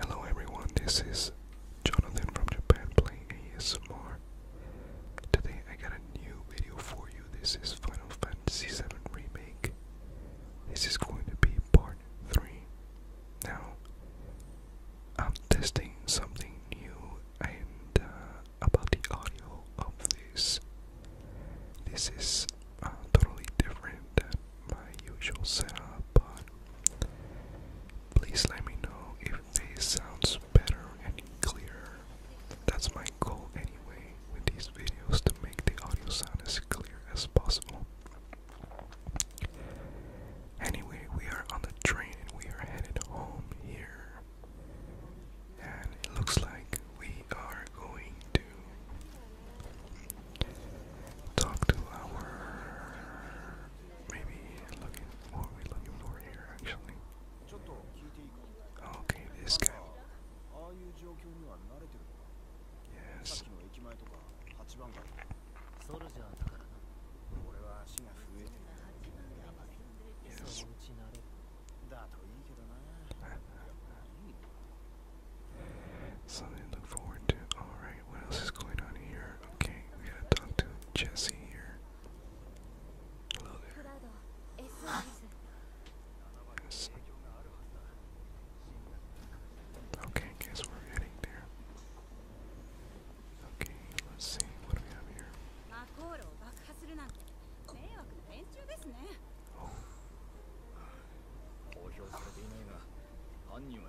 Hello everyone, this is Jonathan from Japan playing ASMR. Today I got a new video for you. This is Final Fantasy VII Remake. This is going to be part 3. Now, I'm testing something new and uh, about the audio of this. This is uh, totally different than my usual setup. Uh, Please let me know if this sounds better and clearer. That's my goal anyway with these videos to make the audio sound as clear as possible. Anyway, we are on the train and we are headed home here. And it looks like we are going to talk to our maybe what are we looking for here actually. Okay, this guy. Yes. Yes. Something to look forward to. Alright, what else is going on here? Okay, we gotta talk to Jesse here. Hello there. Okay, guess we're heading there. Okay, let's see. What we have here? Oh.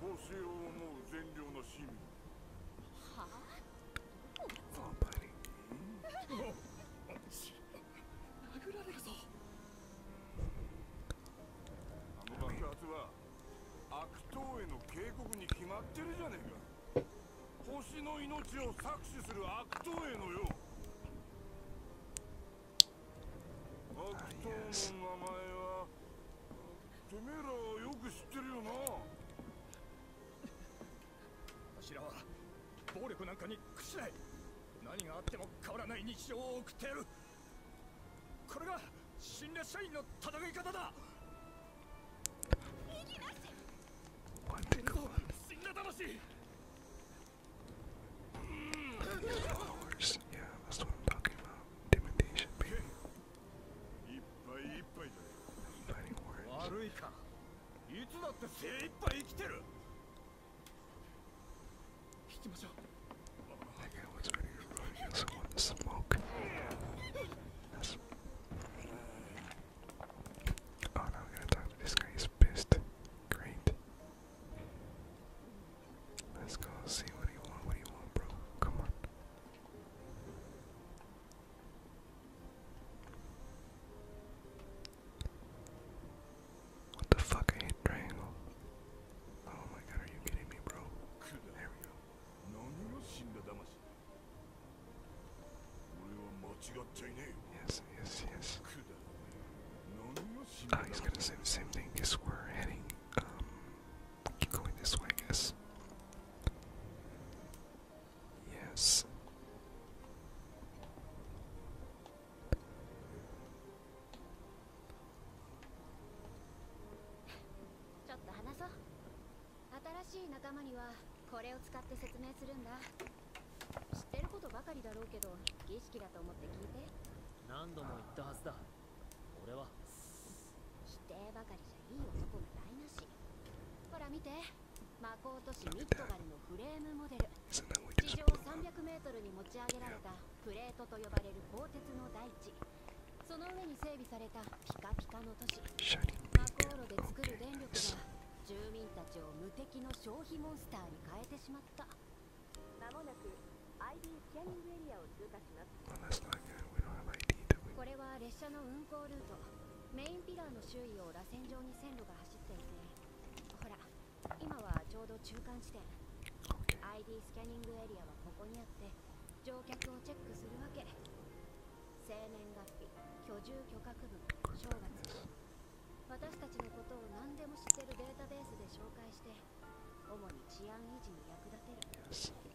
星を思う善良な市民はあ、oh, buddy. 殴られるぞあの爆発は悪党への警告に決まってるじゃねえか星の命を搾取する悪党へのよ悪党の名前はてめえはよく知ってるよな柱は暴力なんかに屈しない何があっても変わらない日常を送ってやるこれが新列社員の戦い方だ Fighting smoke. Oh, now we gotta talk to this guy. He's pissed. Great. Let's go see what do you What do you want, bro? Come on. What the fuck? I triangle. Oh my god, are you kidding me, bro? There we go. Yes, yes, yes. Oh, he's gonna say the same thing because we're um, keep going this way, I guess. Yes. 否定ばかりじゃいい男が台無しほら見て魔法都市ミッドガルのフレームモデル地上 300m に持ち上げられたプレートと呼ばれる鋼鉄の大地その上に整備されたピカピカの都市魔法炉で作る電力が住民たちを無敵の消費モンスターに変えてしまったまもなく ID スキャニングエリアを通過しますこれは列車の運行ルート。メインピラーの周囲を螺旋状に線路が走っていて、ほら、今はちょうど中間地点。ID スキャニングエリアはここにあって、乗客をチェックするわけ。生年月日、居住許可区分、正月。私たちのことを何でも知ってるデータベースで紹介して、主に治安維持に役立てる。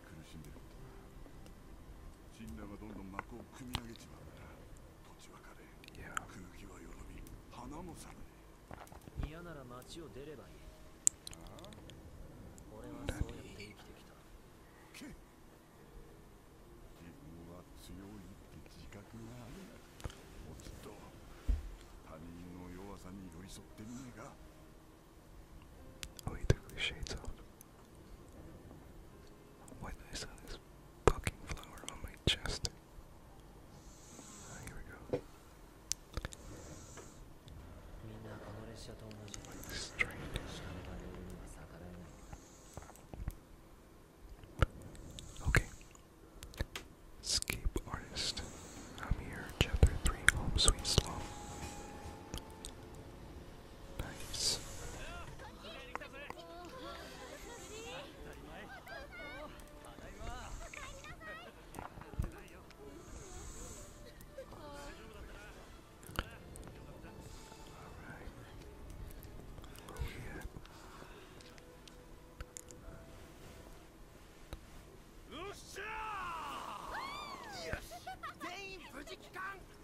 苦しんでることが神羅がどんどん幕を組み上げちまうから土地は枯れ空気はよどみ花も咲かねえ嫌なら町を出ればいいああ俺はそうやって生きてきたけ自分は強いって自覚があるもうちっと他人の弱さに寄り添ってみねえか Oh, took the shades off. When I saw this fucking flower on my chest. Ah, here we go. Okay. Escape Artist. Nice. All right. Here. Yes! Dane, 無事帰還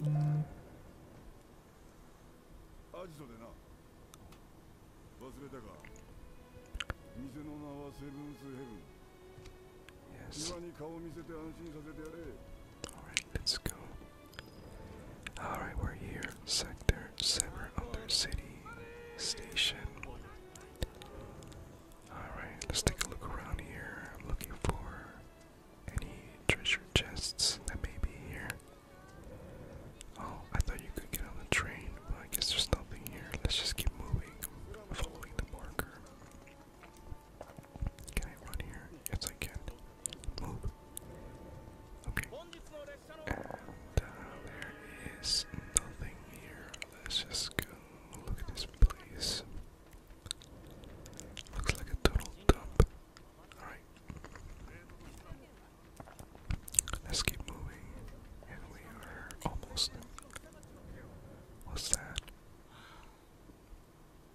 Yes. let's go. Alright, we're here. Sector 7 Under City Station. Alright, let's take a look around here. looking for any treasure chests that may be here? Oh, I thought you could get on the train, but I guess there's nothing here. Let's just keep moving, following the marker. Can I run here? Yes, I can. Move. Okay. Uh, there is nothing here. Let's just go look at this place. Looks like a total dump. Alright. Let's keep moving. And we are almost. What's that?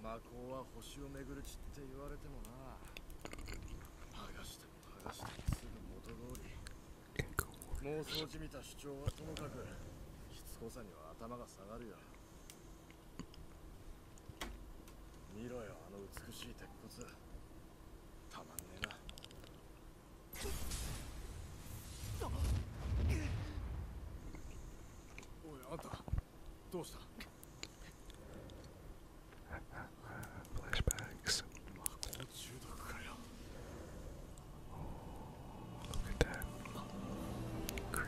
魔法は星を巡る地って言われてもな剥がしても剥がしてもすぐ元通り妄想じみた主張はともかくしつこさには頭が下がるよ見ろよあの美しい鉄骨たまんねえなおいあんたどうした Flashbacks. l o o Great,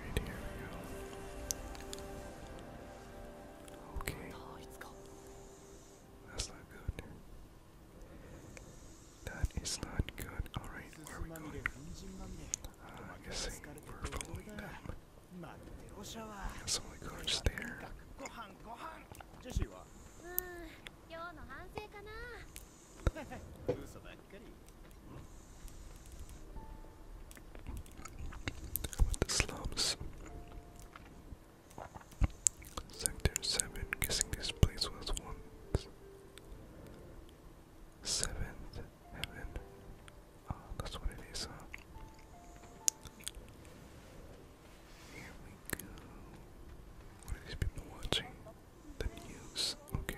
Okay. That's not good. That is not good. Alright, where are we going? Uh, I'm we're following them. Got some of the there the slums. Sector 7, guessing this place was once. Seventh Heaven. Oh, that's what it is, huh? Here we go. What are these people watching? The news. Okay.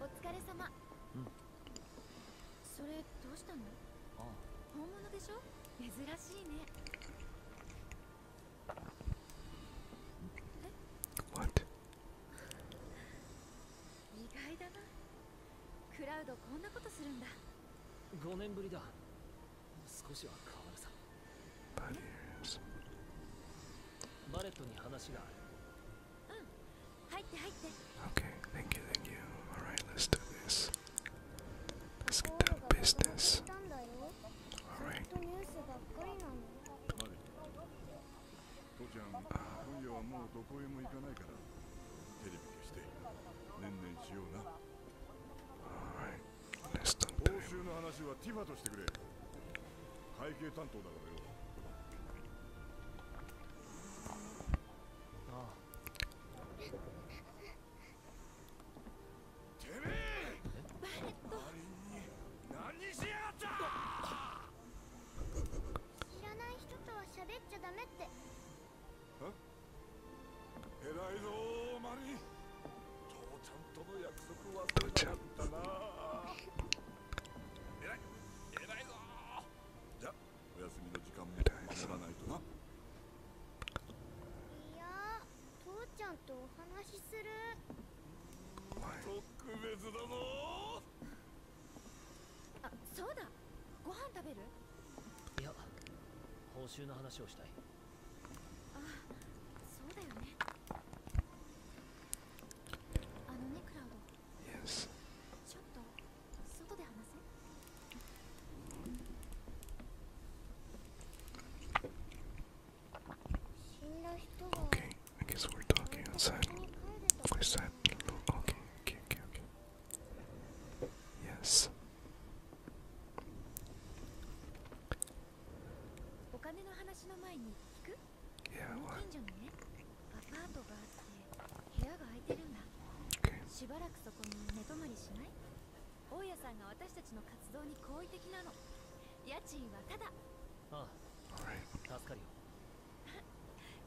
お疲れ様うそれどうしたのあ本物でしょ珍しいね w 意外だなクラウドこんなことするんだ5年ぶりだ少しは変わるさバレットに話がある。うん、入って入って。Okay, thank you, thank you. Alright, let's do this. Let's get down to business. Alright. Uh, Alright, let's talk to him. 会計担当だからよああてめえバレット何しやがった知らない人とは喋っちゃダメってえらいぞマリン父ちゃんとの約束忘れちゃったなややや、やばい、いいぞ。ぞ。じゃ、ゃおおすみのんととちなる。る。べだだ。あ、そうご報酬の話をしたいああそうだよね Yes. Okay, I guess we're talking outside. What is that? Okay, okay, okay, okay. Yes. Yeah, what? Okay. しばらくそこに寝泊まりしない大家さんが私たちの活動に好意的なの家賃はただああ、助よ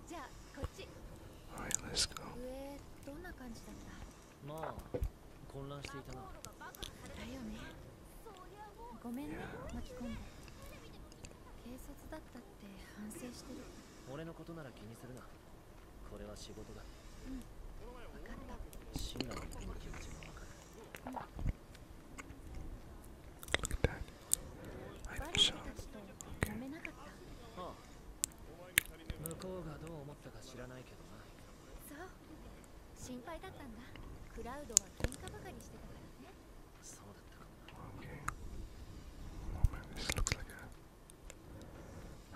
じゃあこっち a どんな感じだったまあ混乱していたなだよねごめんね巻き込んで警察だったって反省してる俺のことなら気にするなこれは仕事だうん分かった死ーラの君の気持ちもわかる、うん Look at that. I'm s h ばかりしてたからね。Okay. Oh man, this looks like a.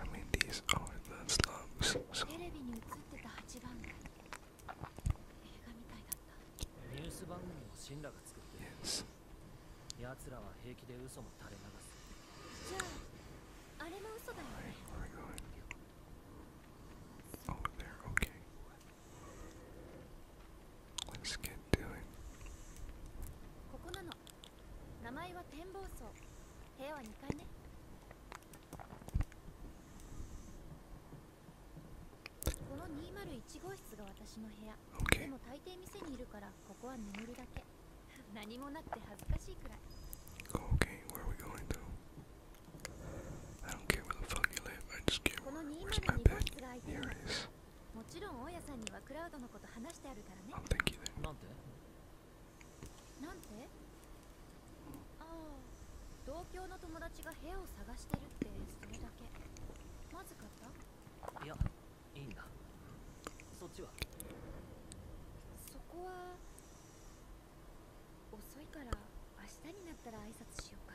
I mean, these are the slums. So. Yes. やつらは平気で嘘も垂れ流すじゃああれも嘘だよね、はい、Oh, there, okay. Let's get doing. ここなの。名前は展望層。部屋は2階ね。この201号室が私の部屋。Okay. でも大抵店にいるからここは眠るだけ。何もなくて恥ずかしいくらい。I don't care where the fuck you live, I just care where, where's my bed. Here it is. I'll take you there. なんてああ同郷の友達が部屋を探してるってそれだけまずかったいやいいんだそっちはそこは遅いから明日になったら挨拶しようか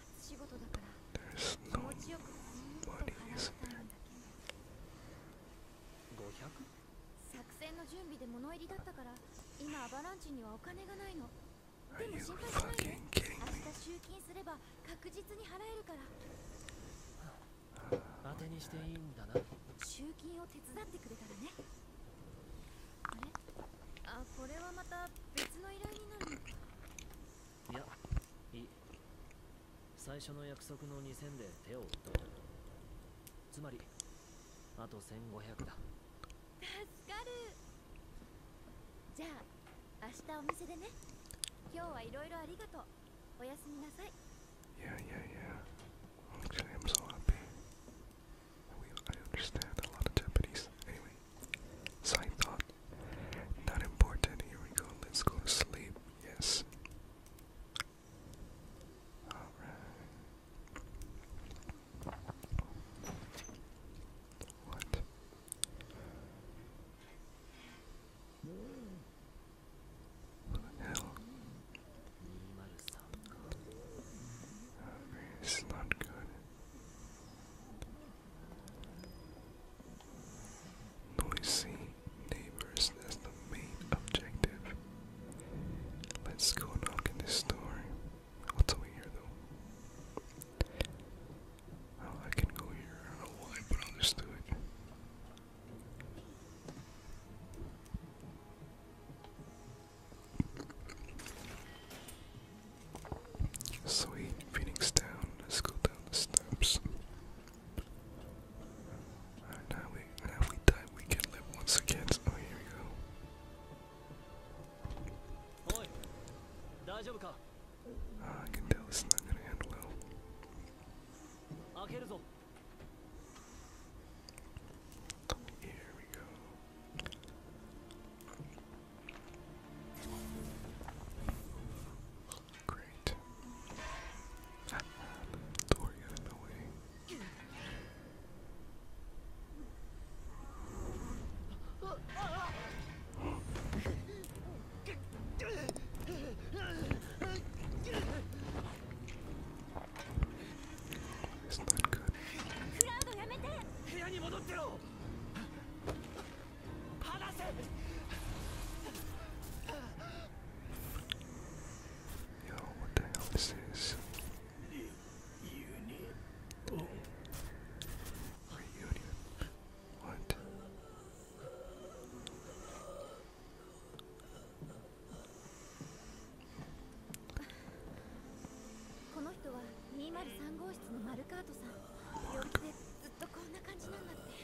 There's no money, is there? 作戦の準備で物入りだったから今アバランチにはお金がないのでも心配しないで明日集金すれば確実に払えるからあてにしていいんだな集金を手伝ってくれたらねあれあこれはまた別の依頼になるのかいや最初の約束の2000で手を打ったつまりあと1500だ助かるじゃあ明日お店でね今日はいろいろありがとうおやすみなさい Yeah, yeah, yeah. Actually, I'm so happy. We, I understand a lot of Japanese. Anyway, side thought. Not important. Here we go. Let's go to sleep. Yes. Alright. What? What the hell? Uh, it's not good. Noisy neighbors, that's the main objective. Let's go knock in this door. What's over here though? Oh, I can go here. why, but I'll just do it. Sweet Phoenix Town. Let's go down the steps now we, now we die, we can live once again. Oh, here we go. Uh, I can tell it's not gonna end well. Here we go. Great. Door got in the way. It's not good. 離せ Yo, what the hell is this? Reunion. Oh. Reunion. What? Mark.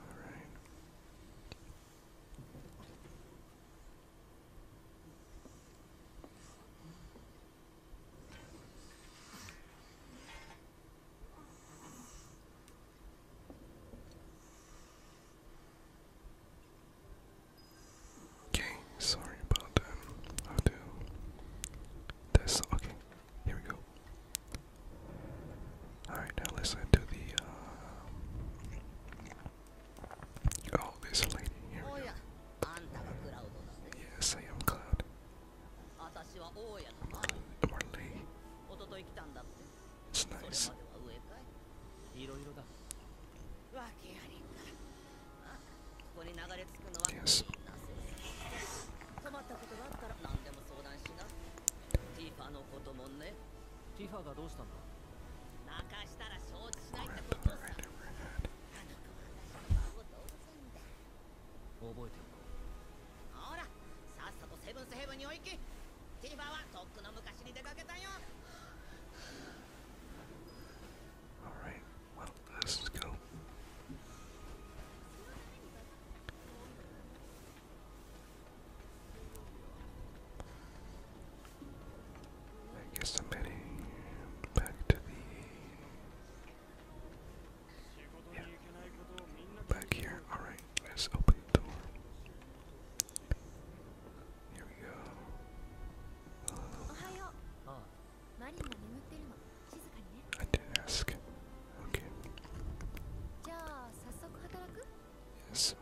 All right. Okay, sorry about that. I'll do this. Okay, here we go. Alright, now listen to the. Uh, oh, there's lady. Here Yes, I am Cloud. Morley. It's nice. Yes. 困ったことがあったら何でも相談しなティファのこともねティファがどうしたんだ任したら承知しないってことあの子は私の動産だ覚えておこうほらさっさとセブンスヘブンにお行きティファはとっくの昔に出かけたよ Alright, well, l e I guess I'm ready. back to the yeah. back here. All right, let's open the door. Here we go. I didn't ask. じゃあ早速働く。JS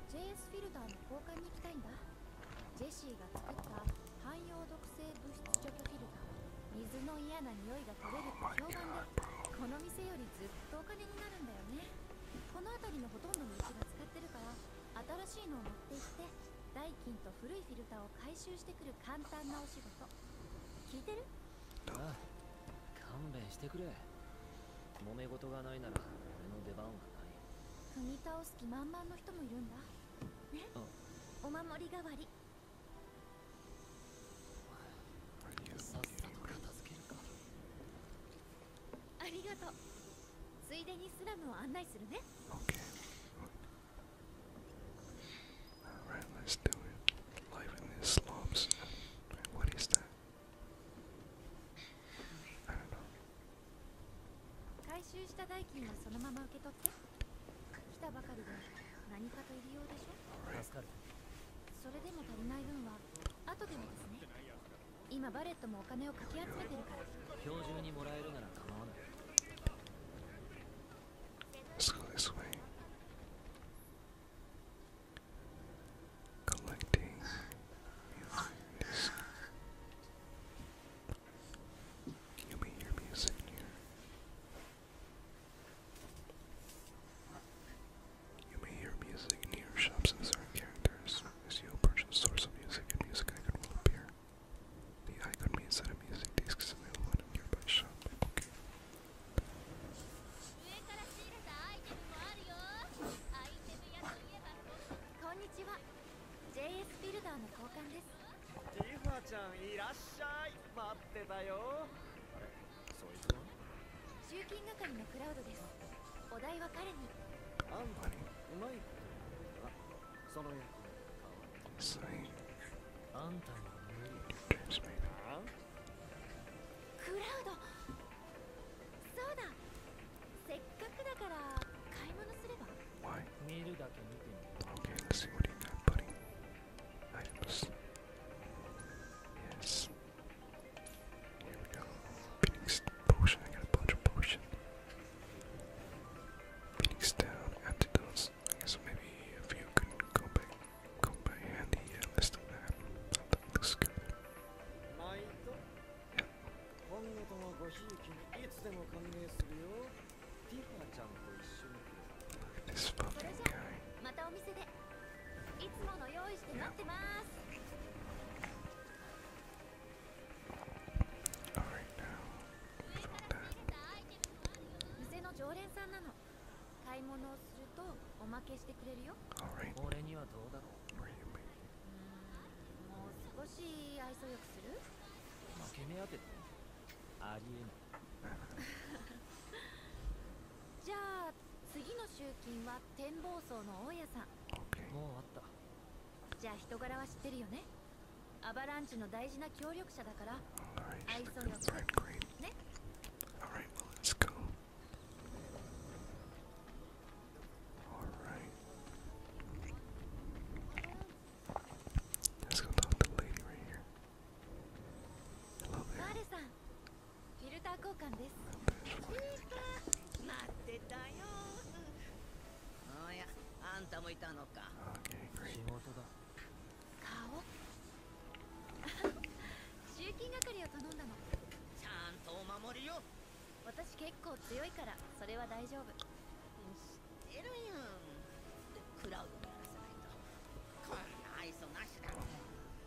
フィルターの交換に行きたいんだ。ジェシーが作った汎用毒性物質除去フィルター。水の嫌な匂いが取れるっ評判で、この店よりずっとお金になるんだよね。この辺りのほとんどの道が使ってるから、新しいのを持って行って、代金と古いフィルターを回収してくる簡単なお仕事。聞いてる？勘弁してくれ揉め事がないなら俺の出番はない踏み倒す気満々の人もいるんだねお守り代わりさっさと片付けるかありがとうついでにスラムを案内するね回収した代金はそのまま受け取って来たばかりで何かと入りようでしょ助かるそれでも足りない分は後でもですね今バレットもお金をかき集めてるから今日中にもらえるなら構わない Let's go t h i collecting music. You may hear music here. You may hear music in shops and certain characters. As you approach the source of music, a music icon will appear. The icon means that a music disc is available in a nearby shop. It's like, you catch me. クラウドそうだせっかくだから買い物すれば Why? Okay, let's see what you got, buddy. Items. Yes. Here we go. Phoenix potion. I got a bunch of potion. Phoenix down. Antidotes. I guess maybe if you could go back, go by handy. Yeah, let that. That looks good. 毎度今後ともごいつでも歓迎するよティちゃんと一緒にまたお店でいつもの用意して待ってます a l r i g さんなの買い物をすとおまけしてくれるよ。俺にはどうだろう。もう少し愛想よくする負け目当てってありえない。じゃあ次の集金は展望層の大家さん。もうあった。じゃあ人柄は知ってるよね。アバランチの大事な協力者だから。愛想よく。ね。a l Alright. Let's go talk to the lady right here. Hello there. Okay, great. 集金係を頼んだのちゃんとお守りよ私結構強いからそれは大丈夫知ってるやんクラウンにやらせないとこんな愛想なしだ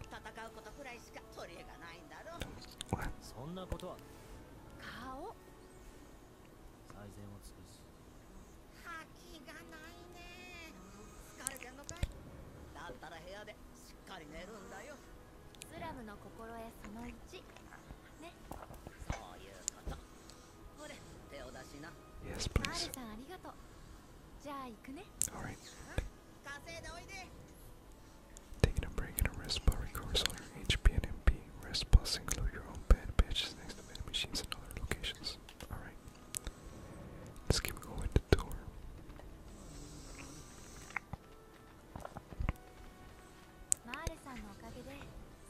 戦うことくらいしか取り柄がないんだろそんなことは顔最善を尽くす覇気がないね疲れてんのかいだったら部屋でしっかり寝るんたよスラムの心得その Yes, please. Alright. Taking a break and a rest bar recovers all your HP and MP. Rest plus include your own bed, patches next to vending machines and other locations. Alright. Let's keep going to the door. マーレさんのおかげで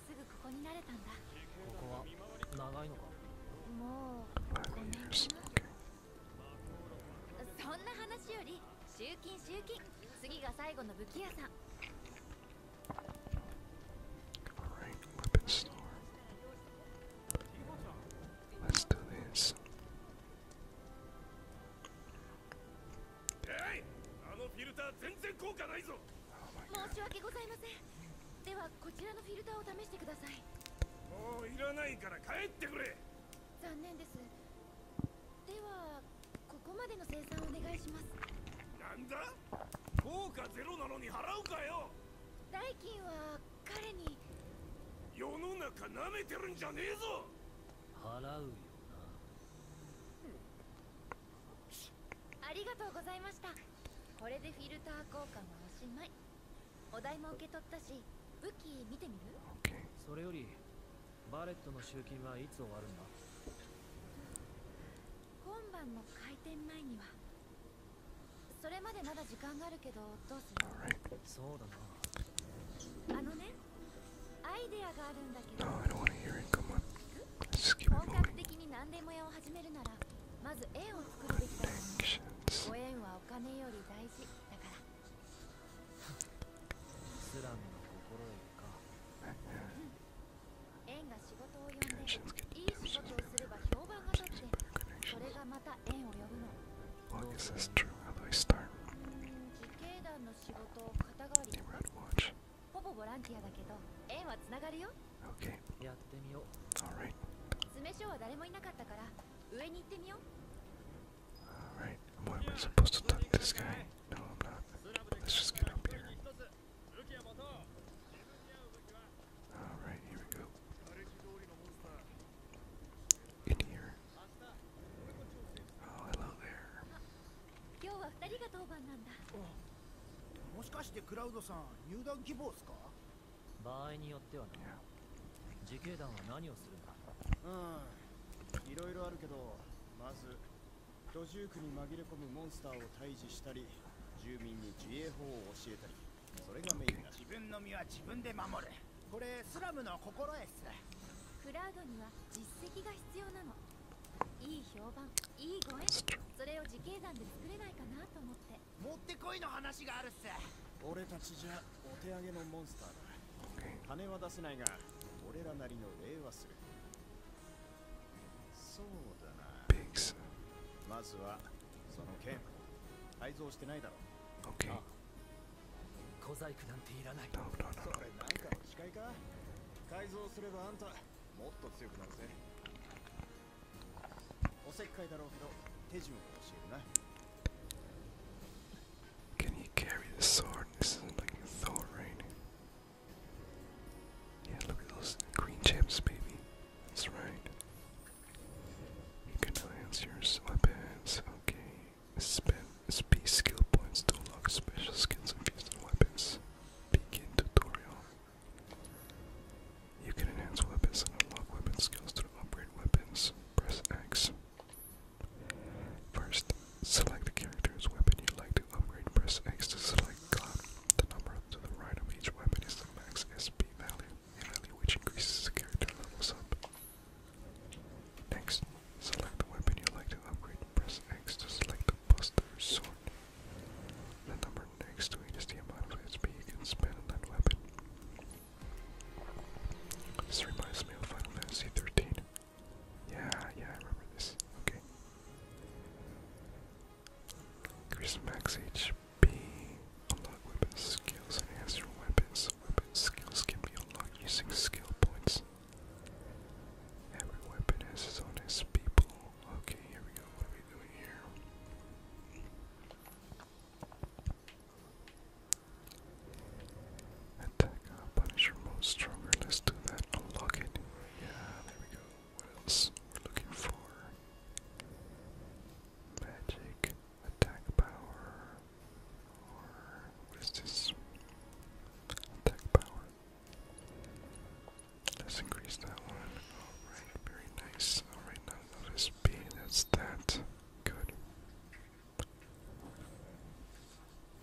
すぐここに慣れたんだここは長いのかもう5年かなそんな話より集金集金次が最後の武器屋さん Alright, weapon store. Let's do this. あのフィルター全然効果ないぞ申し訳ございませんではこちらのフィルターを試してくださいもういらないから帰ってくれ残念ですではここまでの生産お願いします何だ効果ゼロなのに払うかよ代金は彼に世の中なめてるんじゃねえぞ払うよなありがとうございましたこれでフィルター交換はおしまいお題も受け取ったし武器見てみる、それよりバレットの集金はいつ終わるんだ今晩の開店前にはそれまでまだ時間があるけどどうする、r そうだなあのね No, I don't want to hear it. Come on. Let's just keep it moving. Connections. Connections get divorces, connections. Well, I guess that's true. How do I start? の仕事肩代わりほぼボランティアだけど縁はつながるよ OK やってみよう Alright 詰め所は誰もいなかったから上に行ってみよう Alright What am I supposed to talk to this guy? No I'm not Let's just get up here Alright here we go In here Oh, h e l l 今日は二人が当番なんだ。もしかしてクラウドさん、入団希望ですか場合によってはな。自警団は何をするんだうん、いろいろあるけど、まず、土住区に紛れ込むモンスターを退治したり、住民に自衛法を教えたり、それがメインだ。自分の身は自分で守れ。これスラムの心得すクラウドには実績が必要なのいい評判いい声。それを自警団で作れないかなと思って持ってこいの話があるっす俺たちじゃお手上げのモンスターだ金は出せないが俺らなりの礼はするそうだなまずはその剣改造してないだろう、小細工なんていらない。No, no, carry the sword? This isn't like Yeah, look at those green chips, baby. That's right. You can enhance your weapons. Okay. SP skill points to unlock special skills and feats weapons. Begin tutorial. You can enhance weapons and unlock weapon skills to upgrade weapons. Press X. First, select the character's weapon you'd like to upgrade. Press X to select The number to the right of each weapon is the max SP value, a value which increases the character's levels up. Next, select the weapon you'd like to upgrade. Press X to select the buster sword. The number next to it is the amount of HP you can spend on that weapon. This reminds me of Final Fantasy 13. Yeah, yeah, I remember this. Okay. Increase max HP. Unlock weapon skills. Enhance your weapons. Weapon skills can be unlocked using skill points. Every weapon has its own its people. Okay, here we go. What are we doing here? Attack, uh, punish, stronger. Let's do that. Unlock Yeah, there we go. What else? looking for magic, attack power. Or what is this? Attack power. Let's increase that one. Alright, very nice. Alright, now notice B, that's that. Good.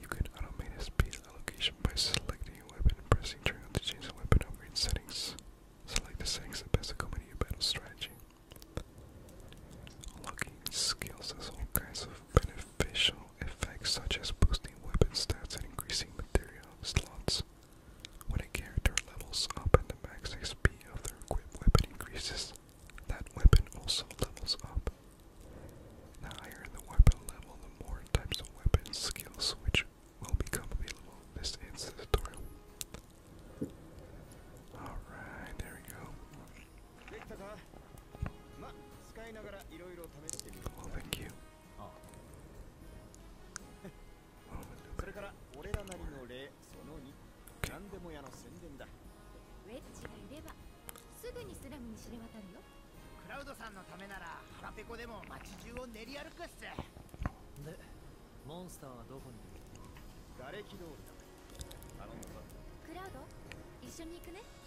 You can automate speed allocation by selecting a weapon and pressing triangle to change the weapon upgrade settings. Select the settings that best accommodate your battle strategy. Unlocking skills has all kinds of beneficial effects such as boosting weapon stats and increasing material slots. When a character levels up and the max XP of their equipped weapon increases, that weapon also levels up. The higher the weapon level, the more types of weapon skills which will become available. This ends the tutorial. Alright, there we go. ま、使いながらいろいろ試してみる。Well, t h a n それから俺らなりの例その2、何でも屋の宣伝だ。ウェッジがいればすぐにスラムに知れ渡るよ。クラウドさんのためなら腹ペコでも街中を練り歩くっす。で、モンスターはどこにいる？瓦礫通りだ。頼むぞ。クラウド、一緒に行くね。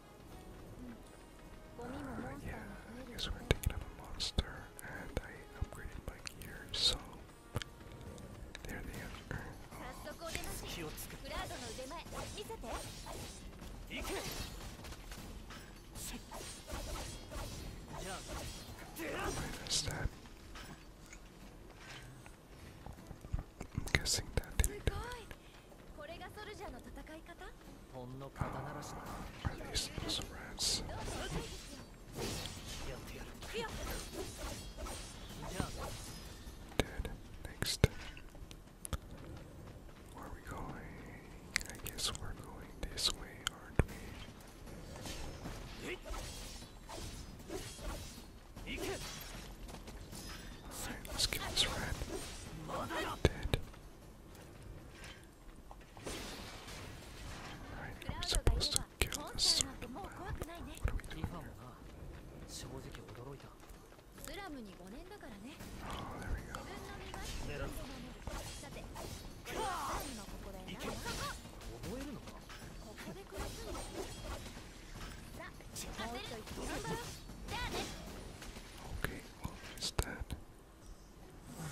yeah, I guess we're taking up a monster, and I upgraded my gear, so there they are. Oh. Minus that. guessing that did it. これがソルジャーの戦い方ほんの肩慣らしだ I used to put some rats やってやるじゃあ Dead. Next. Where are we going? I guess we're going this way, aren't we? Alright, let's give this rat. Dead. Alright, I'm supposed to kill this circle now. What are we doing here? Oh, there we go. Okay, well, he's dead. そろ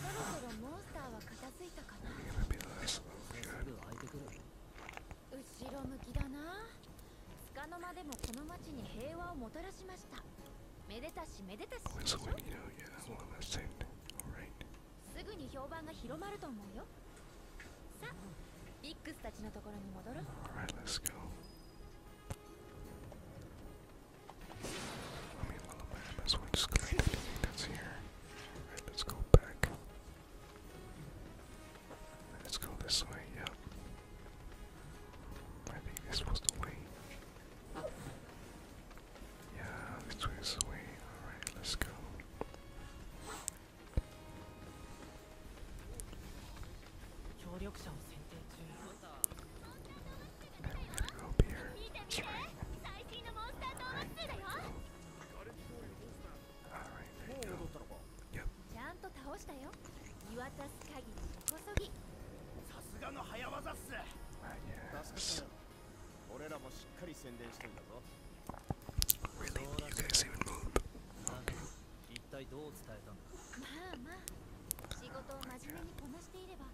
そろモンスターは片付いたかな後ろ向きだなつかの間でもこの町に平和をもたらしましためでたしめでたしすぐに評判が広まると思うよさあビックスたちのところに戻ろう a I mean, well, I might as just collect anything that's here. Alright, let's go back. Let's go this way, yep. I think this was the way. Yeah, this way the way. Alright, let's go. Go beer. That's right. Alright, there you go. Yep. Not yet. Really? You guys even move? Okay. Okay.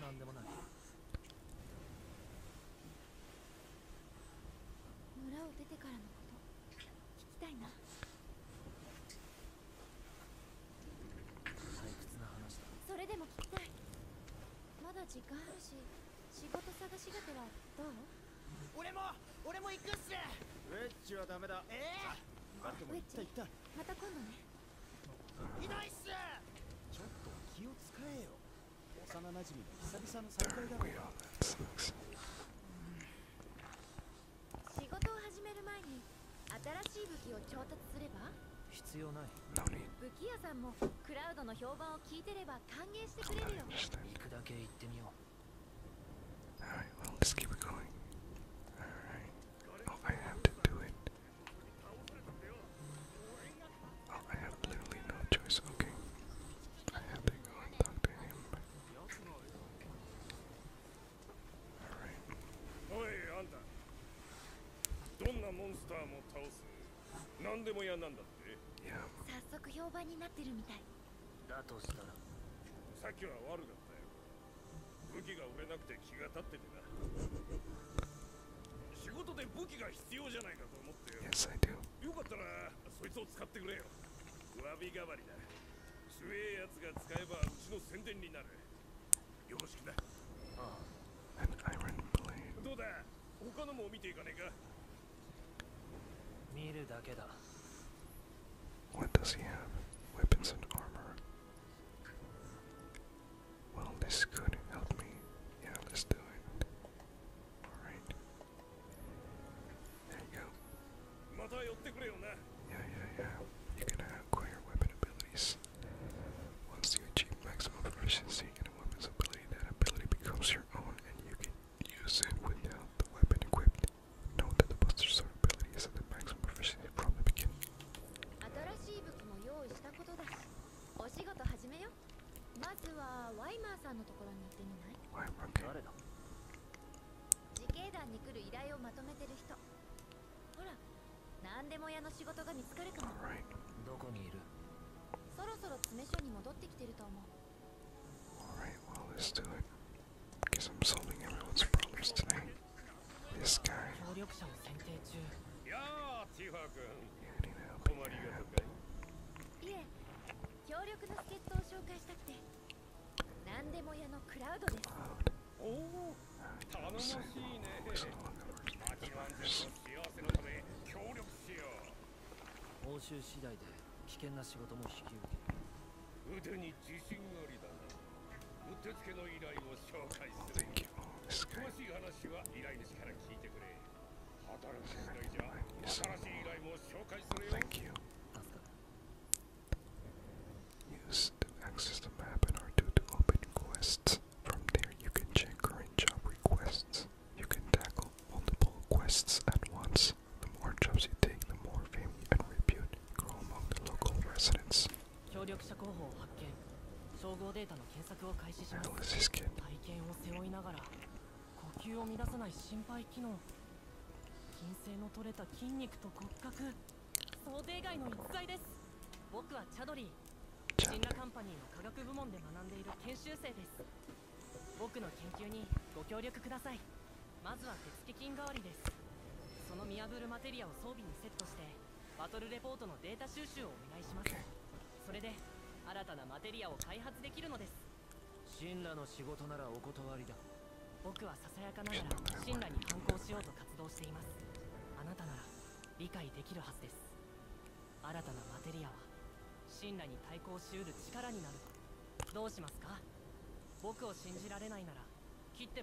何でもない村を出てからのこと聞きたいな退屈な話だそれでも聞きたいまだ時間あるし仕事探しがはどう俺も俺も行くっすウェッジはダメだええー、あでもまた今度ねいいちょっと気を使えよ幼馴染の久々の再会だろ仕事を始める前に新しい武器を調達すれば必要ない武器屋さんもクラウドの評判を聞いてれば歓迎してくれるよ行くだけ行ってみよう Oh, I have literally no choice. Okay. I have to go and talk to him. Alright. Yeah. 早速評判になってるみたい。だとしたら。さっきは悪がだったよ武器が売れなくて気が立っててな仕事で武器が必要じゃないかと思ってよ Yes I do よかったらそいつを使ってくれよ詫び代わりだ強えやつが使えばうちの宣伝になるよろしくなああ An iron blade どうだ他のも見ていかねえか見るだけだ What does he have? Weapons and armor. Well, this could help me. Yeah, let's do it. Alright. There you go. Yeah, yeah, yeah. You can acquire weapon abilities. Once you achieve maximum proficiency in a weapon's ability, that ability becomes your own and you can use it without the weapon equipped. Note that the Buster Sword ability is at the maximum proficiency from 新しい武器も用意したことだしお仕事始めよまずはワイマーさんのところに行ってみない誰だ自警団に来る依頼をまとめてる人ほら何でも屋の仕事が見つかるかもどこにいるそろそろ詰め所に戻ってきてると思う Alright, well, let's do it. Guess I'm solving everyone's problems tonight. This guy. Yeah, I need to open your app. Cloud. I don't say always along the first name first. 腕に自信ありだな。うってつけの依頼を紹介する。Thank you. Use to access the map and r to open quests. From there, you can check current job requests. You can tackle multiple quests at once. The more jobs you take, the more fame and repute grow among the local residents. 協力者候補を発見総合データの検索を開始します。体験を背負いながら呼吸を乱さない心肺機能筋性の取れた筋肉と骨格想定外の逸材です僕はチャドリージンラカンパニーの科学部門で学んでいる研修生です僕の研究にご協力くださいまずは手付金代わりですその見破るマテリアを装備にセットしてバトルレポートのデータ収集をお願いします、それで新たなマテリアを開発できるのです神羅の仕事ならお断りだ僕はささやかながら神羅に反抗しようと活動していますあなたなら理解できるはずです新たなマテリアは神羅に対抗しうる力になるどうしますか僕を信じられないなら切って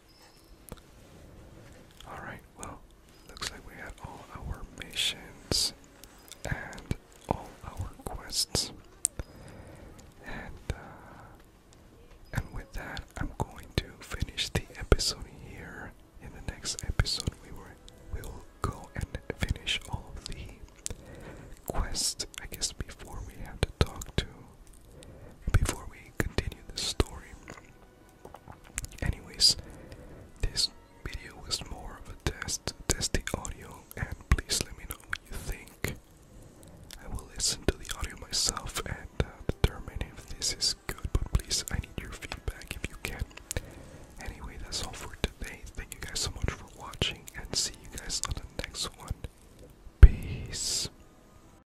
Alright, well, looks like we got all our missions and all our quests. And, uh, and with that, I'm going to finish the episode here. In the next episode, we will, we will go and finish all of the quests. I guess before we have to talk to before we continue the story. Anyways, this video was more of a test, test the audio, and please let me know what you think. I will listen to the audio myself and uh, determine if this is good, but please, I need your feedback if you can. Anyway, that's all for today. Thank you guys so much for watching, and see you guys on the next one. Peace.